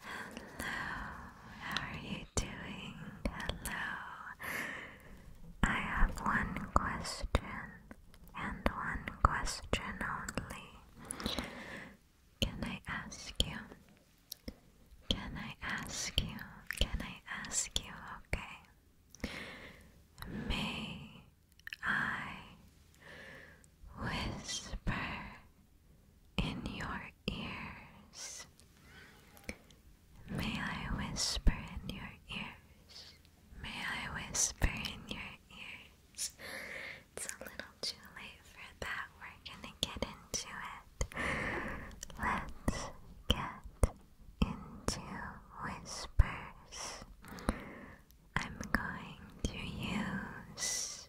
how are you doing? Hello. I have one question and one question only. Can I ask you? Can I ask you? Can I ask you? Okay. May I whisper in your ears. May I whisper in your ears. May I whisper in your ears. It's a little too late for that. We're gonna get into it. Let's get into whispers. I'm going to use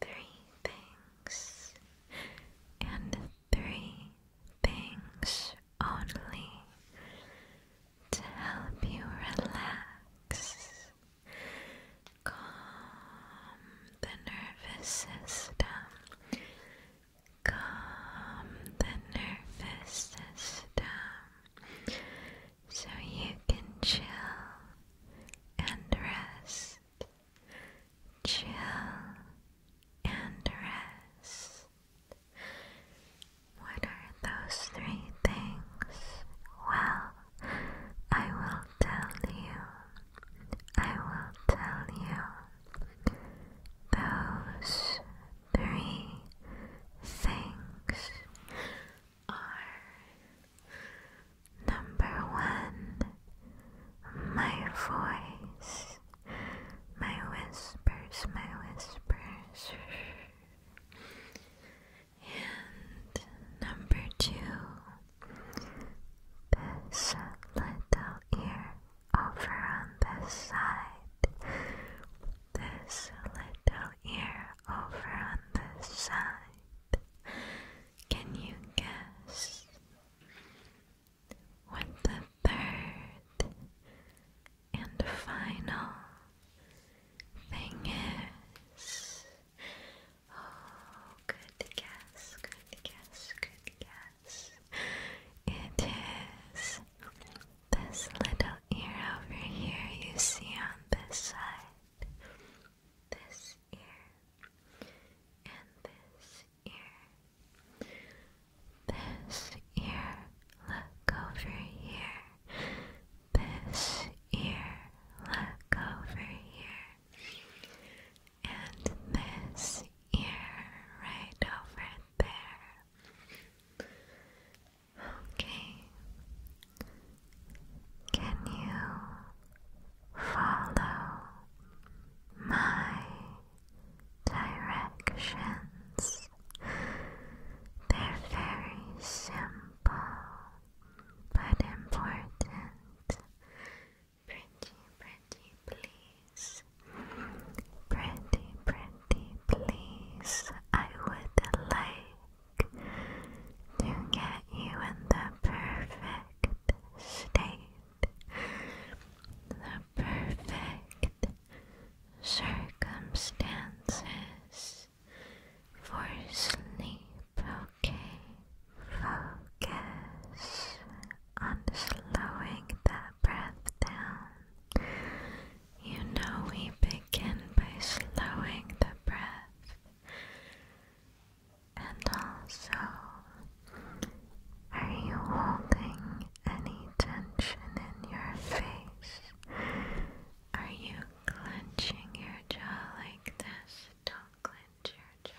three things, and three things only to help you relax, calm the nervous system, calm the nervous system so you can chill and rest. Chill and rest. What are those three things? Well, I will tell you. I will tell you. Those three things are number one, my voice, my whispers, my whispers. And number two, this little ear over on this side. This little ear over on this side. Can you guess what the third and final thing is? Oh, good guess, good guess, good guess. It is this little ear over here you see on this side this ear, and this ear. This ear, look over here. This ear, look over here. And this ear, right over there. Okay. Can you follow my directions? They're very simple but important. Pretty, pretty, please. Pretty, pretty, please. I would like to get you in the perfect state, the perfect circumstances for sleep, okay? Focus on slowing that breath down. You know, we begin by slowing the breath and also, are you holding any tension in your face? Are you clenching your jaw like this? Don't clench your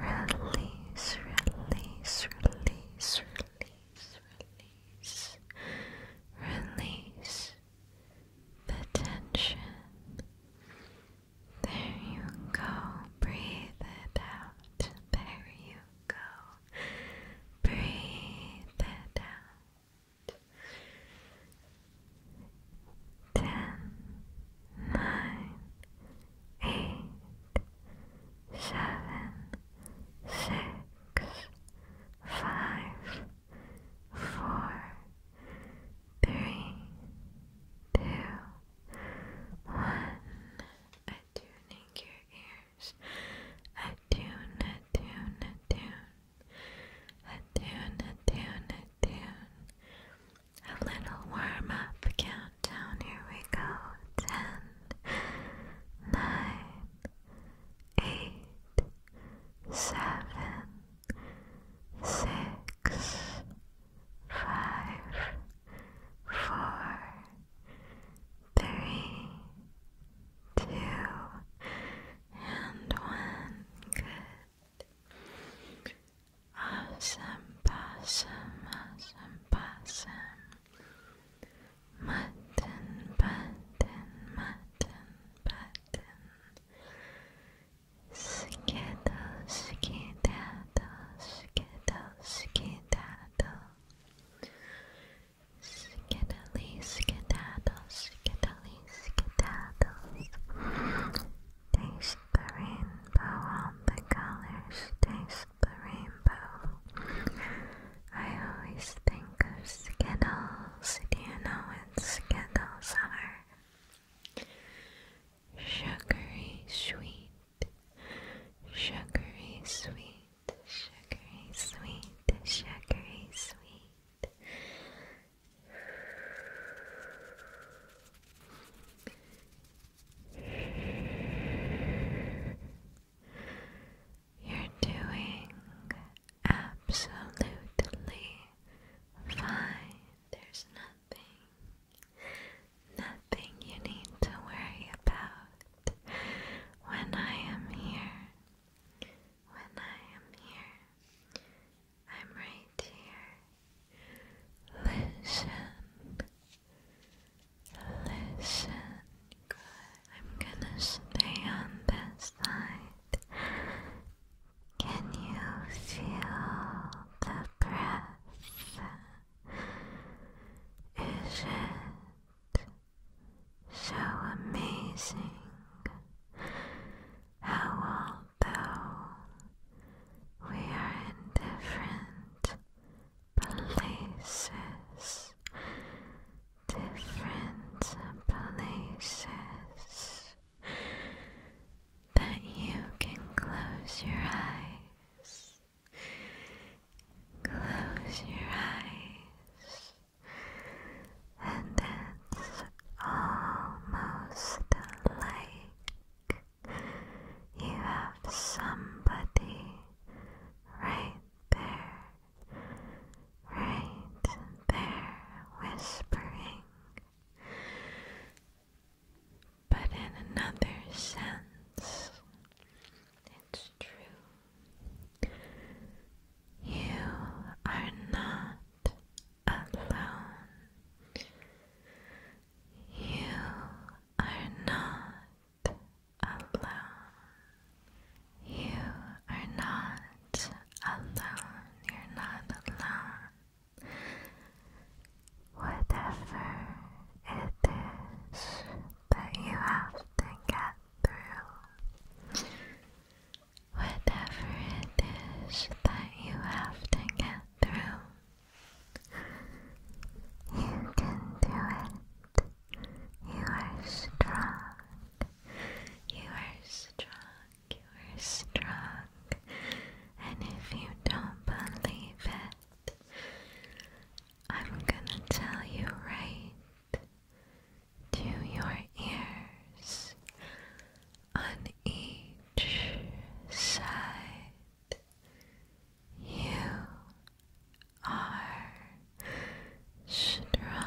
jaw. Release, release, release, release, release, release, the tension. There you go. Breathe it out. There you go. Breathe it out. Ten, nine, eight, seven, six, five, four, three, two, one. Attuning your ears. Attune, attune, attune. Attune, attune, attune. A little warm up countdown. Here we go. Ten, nine, eight seven, six, five, four, three, two, and one. Good. Awesome, possum, awesome, possum. Mutton, button, mutton, button. Skedaddle, skedaddle, skedaddle, skedaddle. Skiddly, skedaddle, skiddly, skedaddle. Taste the rainbow on the colors, taste the rainbow. I always think 'Cause of Skittles? Do you know what Skittles are? Sugary sweet, sugary sweet, sugary sweet, sugary sweet. You're doing absolutely fine. There's nothing, nothing you need to worry about when I am here. When I am here, I'm right here. Listen, listen. Good. I'm gonna stay on this side. Can you feel the breath? Is it so amazing how, although we are in different places, different places, that you can close your eyes. Close your eyes. And it's almost like you have somebody right there right there whispering. But in another sense, it's true. You are not alone. You are not alone. You are not alone. You're not alone. Whatever it is that you have to get through, whatever it is that you have to get through, you can do it. You are strong. You are strong. You are strong, and if you don't believe it, I'm gonna tell you right to your ears on each side. You are strong.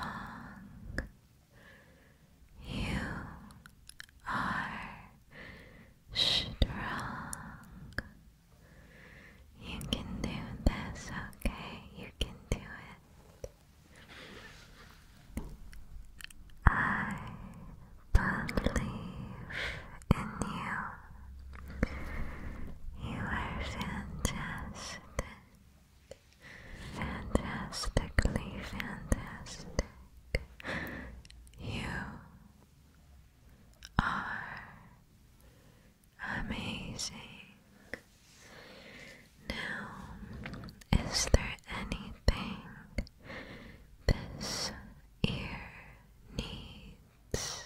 You are strong. You can do this, okay? You can do it. I believe in you. You are fantastic. Fantastically fantastic. You are amazing. Now, is there anything this ear needs?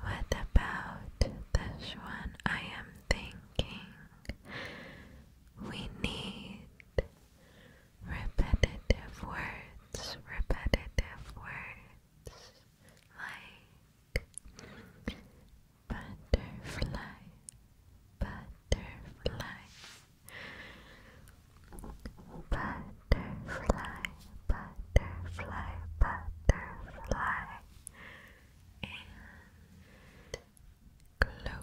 What about this one? I am thinking we need repetitive words, repetitive words like butterfly, butterfly, butterfly, butterfly, butterfly, and glow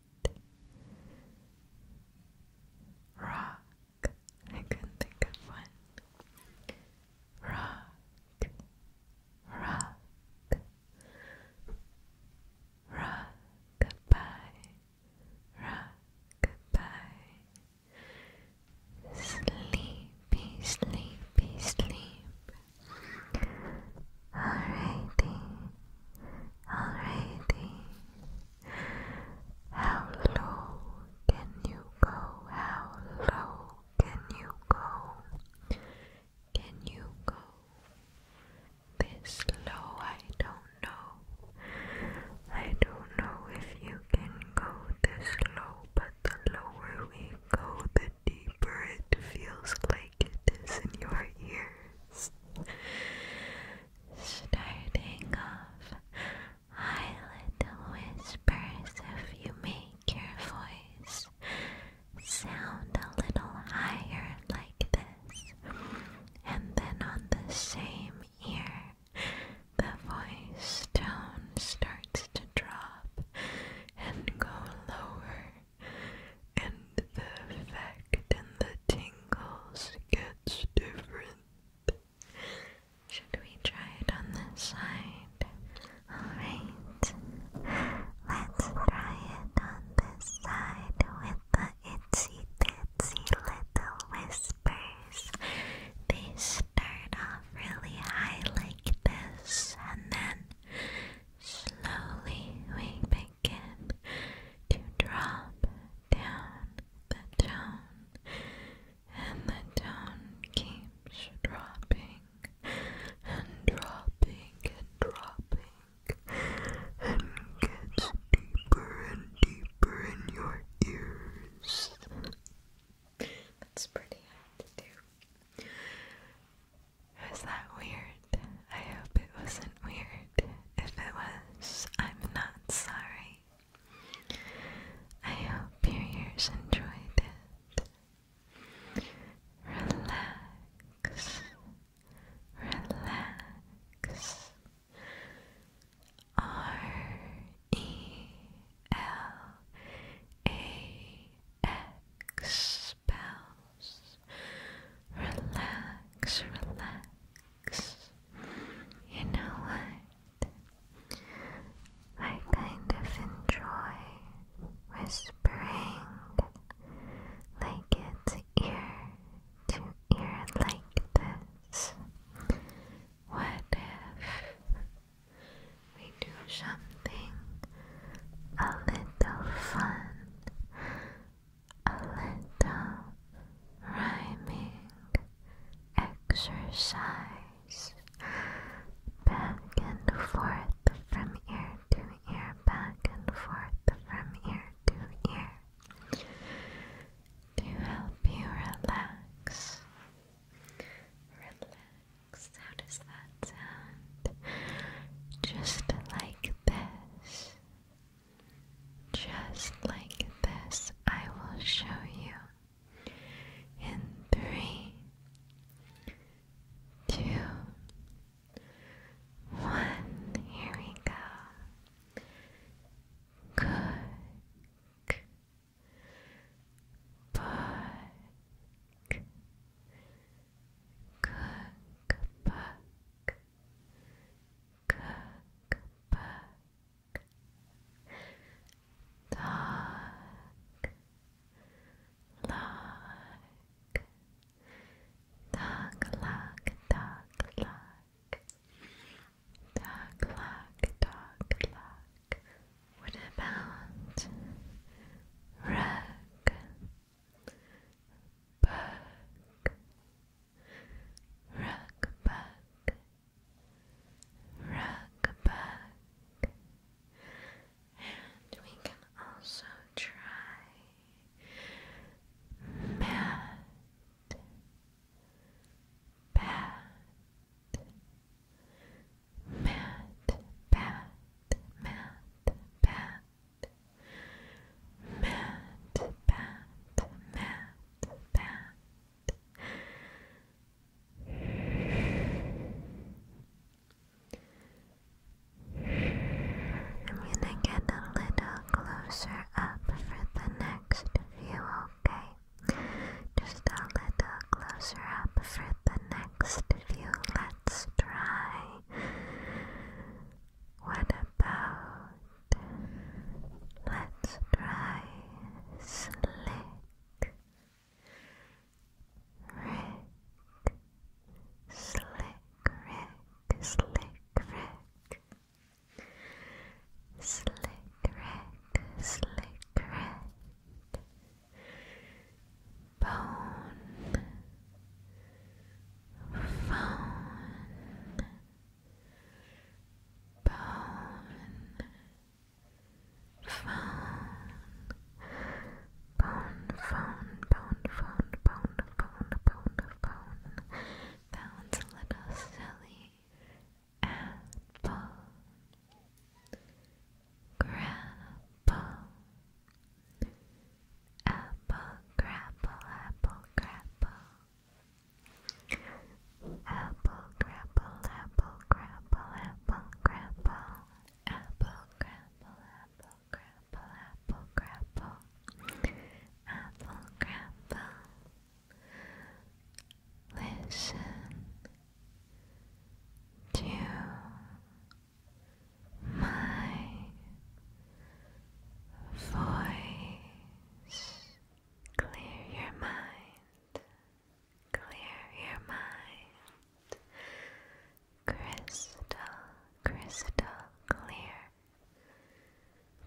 Rock. I couldn't think of one. Rock. Rock. Rock goodbye. Rock goodbye. Sleepy, sleepy, sleep. Alrighty. Alrighty. How low can you go? How low can you go? Can you go this low? I don't know. I don't know if you can go this low, but the lower we go, the deeper it feels like it is in your ears. Starting off, high little whispers if you make your voice sound a little higher like this, and then on the same ear, the voice tone starts to drop and go lower and the effect and the tingles gets different. Should we try it on this side? Alright, let's try it on this side with the itsy bitsy little whispers. They start off really high like this and then Slowly we begin to drop down the tone, and the tone keeps dropping and dropping and dropping and gets deeper and deeper in your ears. That's pretty hard to do. Was that weird? I hope it wasn't weird. If it was, I'm not sorry. I hope your ears enjoyed it. Relax. Relax. R E L A X Relax, relax. You know what? I kind of enjoy whispering like it's ear to ear like this. What if we do something a little fun? a little rhyming exercise back and forth from ear to ear, back and forth from ear to ear to help you relax. Relax, how does that sound? Just like this. Just like this, I will show you in three, two, one. Here we go. Cook, book, cook, book, cookbook, dog, log, dog, log, dog, log, dog, log, dog, log. What about rug? back, rock back, rock back, and we can also try mat, pat, mat, pat, mat, pat. Matt, pat, Matt, pat. I'm gonna get a little closer up for the next view, okay? Just a little closer up for the next view. Let's try. What about let's try slick, Rick, slick, Rick, slick, Rick, slick, Rick, slick, Rick, bone, phone, bone, phone, bone, phone, bone, phone, bone, bone, bone, bone. Sounds a little silly. Apple, grapple. Apple crapple, apple crapple. Apple crapple, apple crapple, apple crapple. Apple crapple, apple crapple, apple crapple. Listen to my voice. Clear your mind. Clear your mind. Crystal, crystal clear.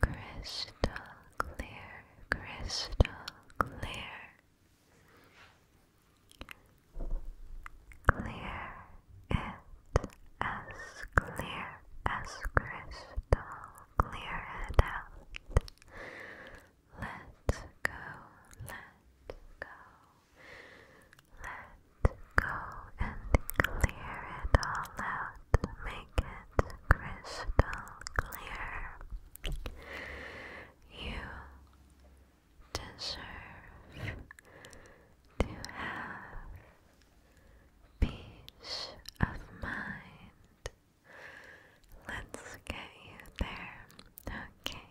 Crystal clear, crystal clear. Clear as clear as crystal. Clear it out. Let go, let go. Let go and clear it all out. Make it crystal clear. You deserve to have peace of mind. Let's get you there. Okay.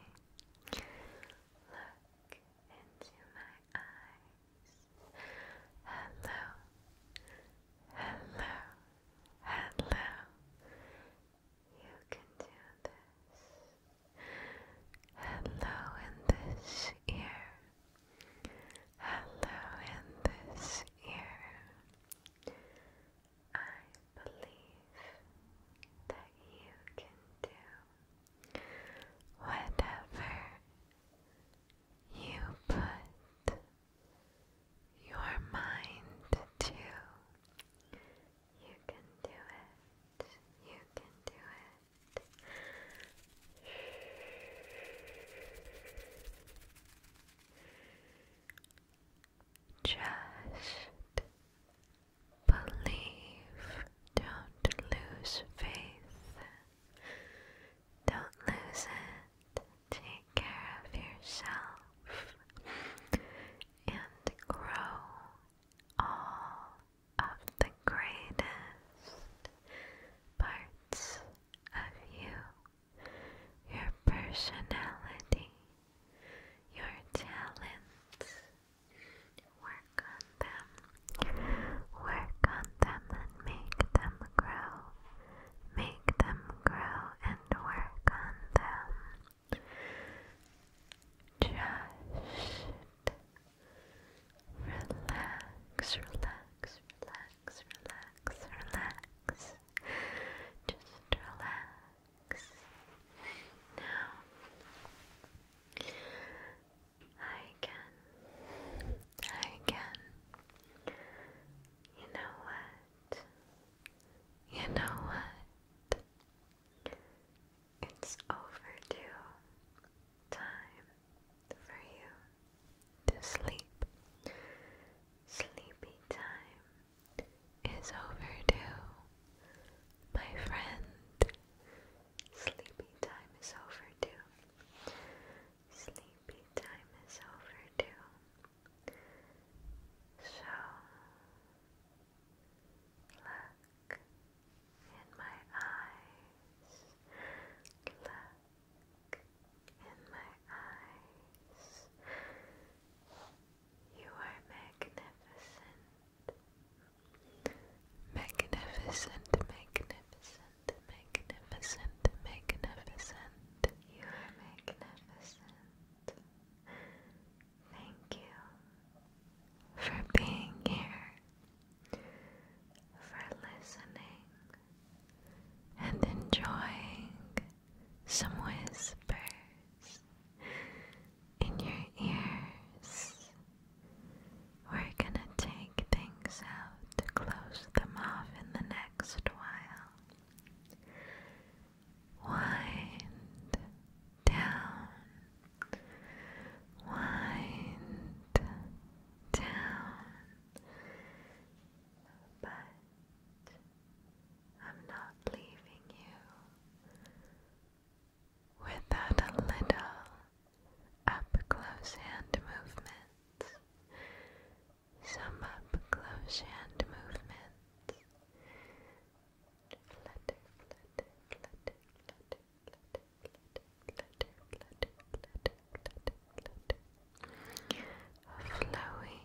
Look into my eyes. Hello. Hello. Hello. You can do this. Hello in this ear. Hello in this ear. I believe that you can do whatever you put your mind to. You can do it. You can do it. Just believe. Don't lose faith. Don't lose it. Take care of yourself and grow all of the greatest parts of you, your personality, your talents. Work on them, work on them and make them grow. Make them grow and work on them. Just relax, relax, relax, relax, relax. Just relax. Now, I can, I can. You know what? You know what? It's overdue time for you to sleep. Sleepy time is overdue, my friend. Sleepy time is overdue. Sleepy time is overdue. So, look in my eyes. Look in my eyes. You are magnificent. Magnificent, magnificent, magnificent, magnificent. You are magnificent. Thank you for being here for listening and enjoying some whispers in your ears. We're gonna take things out to close them off in the next while. Wind down, wind down but I'm not leaving you without a little up close hand movement. Some up close hand movement. Flutter, flutter, flutter, flutter, flutter, flutter flutter, flutter, flutter, flutter, flutter. Flowy,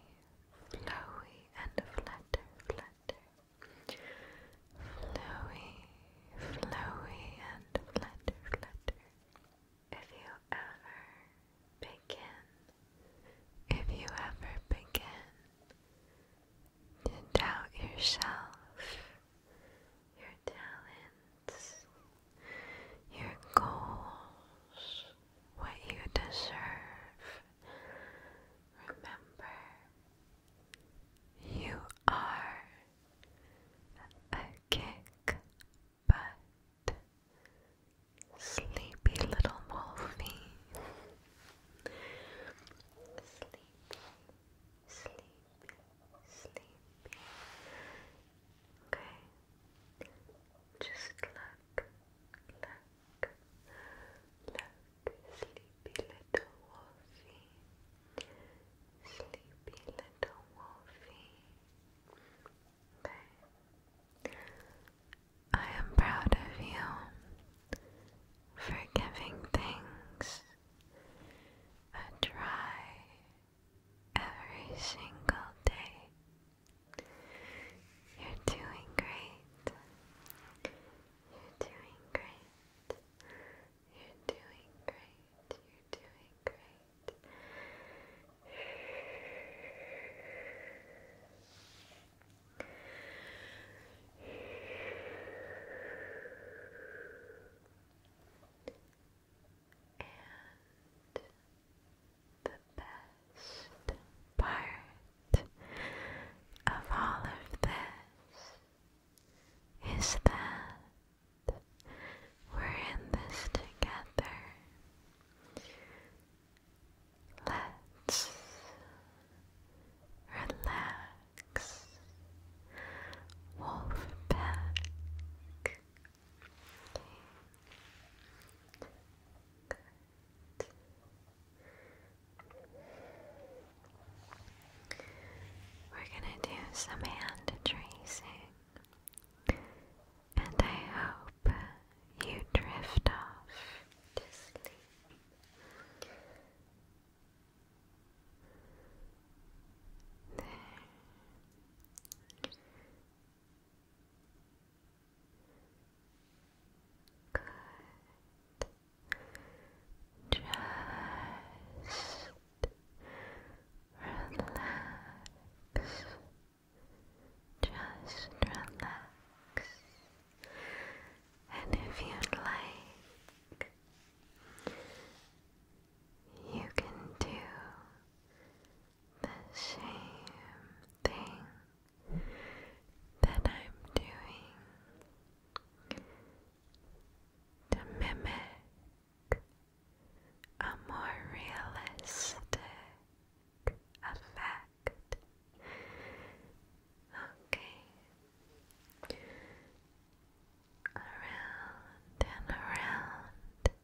flowy, and flutter, flutter. Flowy, flowy, and flutter, flutter. If you ever begin, if you ever begin to doubt yourself, your talents, your goals, what you deserve. Remember, you are a kick butt, sleepy little wolfie. Sleepy, sleepy, sleepy. Okay. Just look, look, look, sleepy little wolfie. Sleepy little wolfie. I am proud of you for giving things a try every single day. You're doing great. You're doing great. You're doing great. You're doing great. And the best part of all of this is that we're in this together. Let's relax, wolf pack. We're gonna do some hand tracing, and I hope you drift off to sleep. There. Just relax. Just relax. And if you'd like, you can do the same thing that I'm doing to mimic a more realistic effect. Okay. Around and around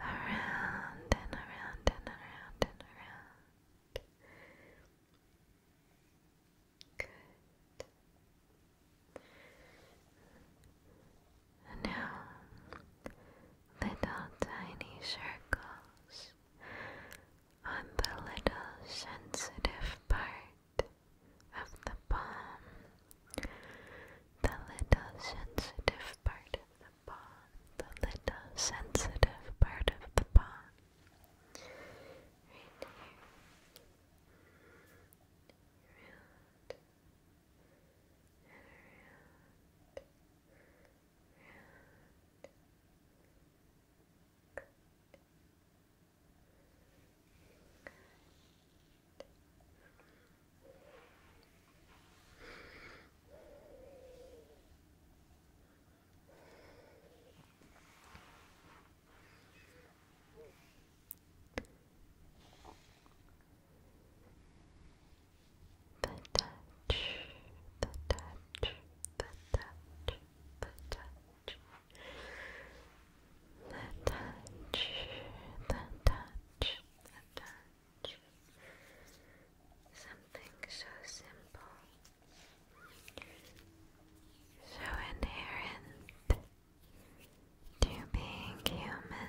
around and around and around and around. Good. now, little tiny circles on the little sensitive part of the palm the little sensitive part of the paw, the little sensitive part of the paw. Right here. Good. The touch, the touch, the touch, the touch, the touch, the touch, Something so simple, so inherent to being human.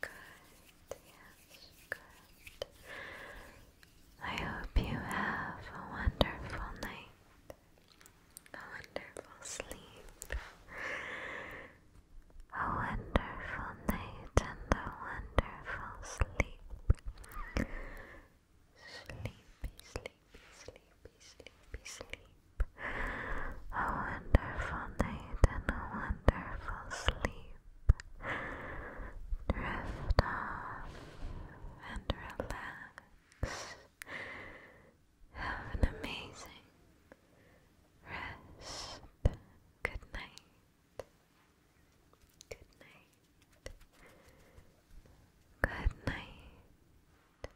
Good, yes, good. I hope you have a wonderful night, a wonderful sleep, a wonderful night, and a wonderful sleep. Sleepy, sleepy, sleepy, sleepy, sleepy. A wonderful night and a wonderful sleep. Drift off and relax. Have an amazing rest. Good night. Good night. Good night.